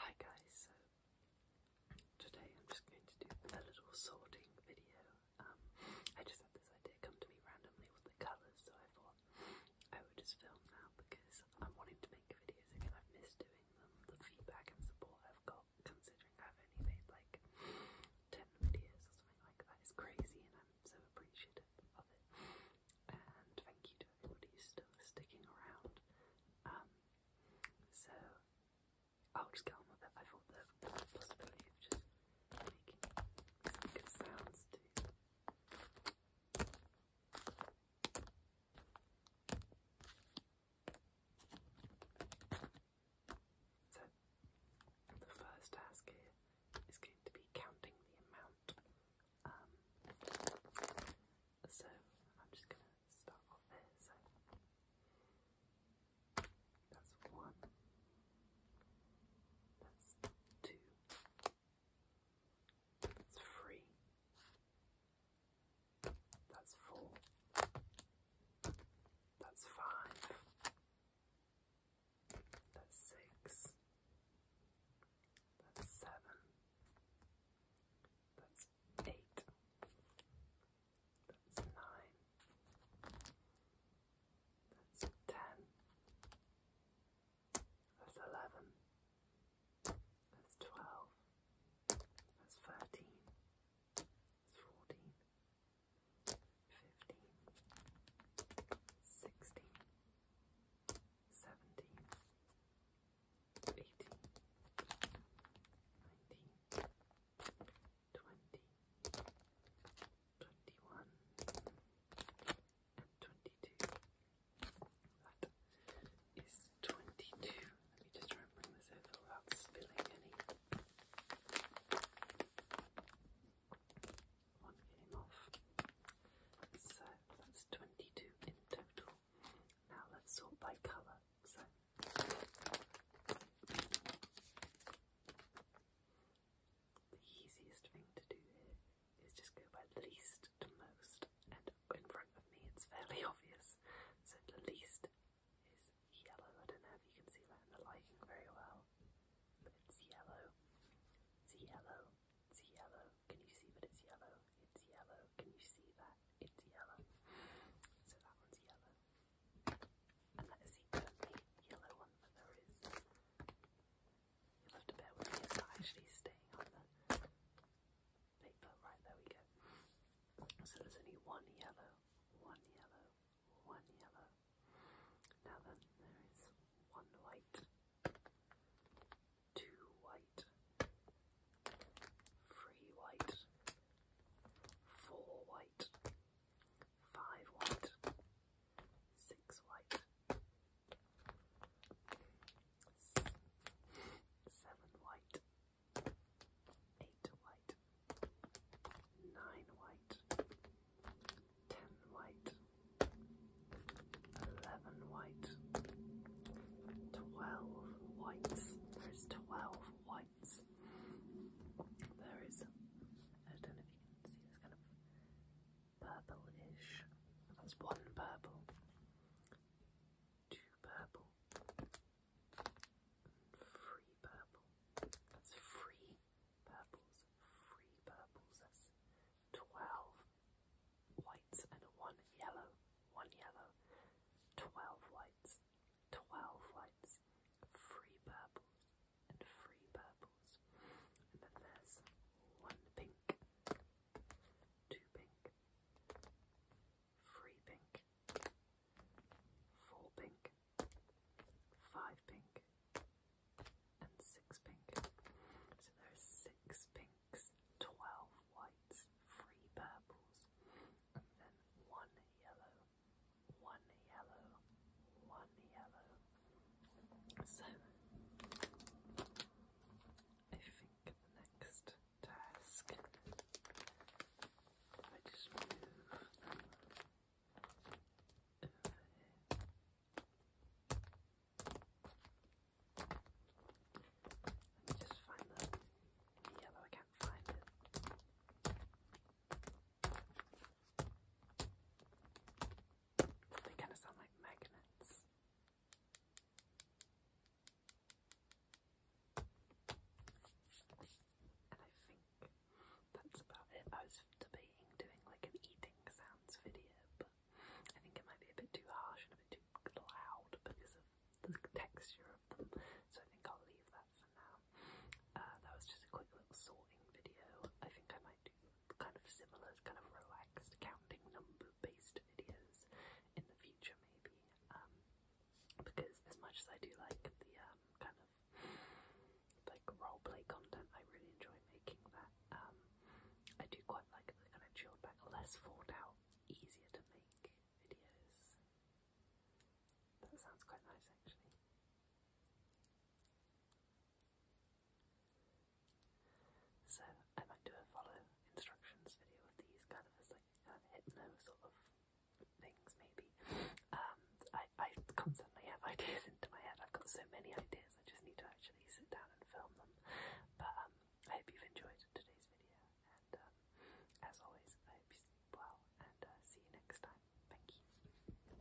Hi guys, so today I'm just going to do a little sorting video. Um, I just had this idea come to me randomly with the colours, so I thought I would just film now because I'm wanting to make videos again. I've missed doing them. The feedback and support I've got, considering I've only made like 10 videos or something like that, is crazy and I'm so appreciative of it. And thank you everybody's still sticking around. Um, so I'll just get on with it. I thought the possibility of just making some good sounds too. So the first task here is going to be counting the amount out. Um, so I'm just going to start off there. So that's one, that's two, that's three, that's four, that's five. That's six. That's seven. That's eight. That's nine. That's ten. That's eleven. That's twelve. That's thirteen. That's fourteen. That's 15, 16, 17, 18, 19, 20, 21, 22, 23, 24, 25, 26, 27, 28, 29, 30, fifteen, sixteen, seventeen, eighteen, nineteen, twenty, twenty-one, and That is twenty-two. Let me just try and bring this over without spilling any one game off. So that's 22 in total. Now let's sort by colour. So the easiest thing to do here is just go by least to most, and in front of me it's fairly obvious. So the least is yellow. I don't know if you can see that in the lighting very well, but it's yellow. It's yellow. It's yellow. Can you see that it's yellow? It's yellow. Can you see that? It's yellow. So that one's yellow. And that is the only yellow one that there is. have to bear with me, it's not actually staying on the paper. Right, there we go. So there's only one yellow, one yellow, one yellow. Now then, there is one white, two white, three white, four white, five white, six white, seven white eight white, nine white, ten white, eleven white, twelve whites. There's twelve whites. There is, I don't know if you can see this kind of purple That's one purple, two purple, Free purple. That's free purples. Free purples. That's twelve whites and one yellow. One yellow. Twelve whites. Twelve whites. Free purples and free purples. And then there's one pink. Two pink three pink, four pink, five pink, and six pink. So there are six pinks, twelve whites, three purples, and then one yellow, one yellow, one yellow. I think the next task I just move Let me just find the yellow, I can't find it. They kind of sound like magnets. And I think that's about it. I was debating doing like an eating sounds video, but I think it might be a bit too harsh and a bit too loud because of the texture of them. So I think I'll leave that for now. Uh, that was just a quick little sorting video. I think I might kind of similar, kind of relaxed counting number based videos in the future, maybe. Um, because as much as I do like the um, kind of like role content, I really enjoy making that. Um, I do quite like the kind of chilled back, less thought out, easier to make videos. That sounds quite nice, actually. So I might do a follow instructions video of these kind of like hypno sort of things maybe. Um, I constantly have ideas into my head. I've got so many ideas. I just need to actually sit down and film them. But um, I hope you've enjoyed today's video. And um, as always, I hope you sleep well. And uh, see you next time. Thank you.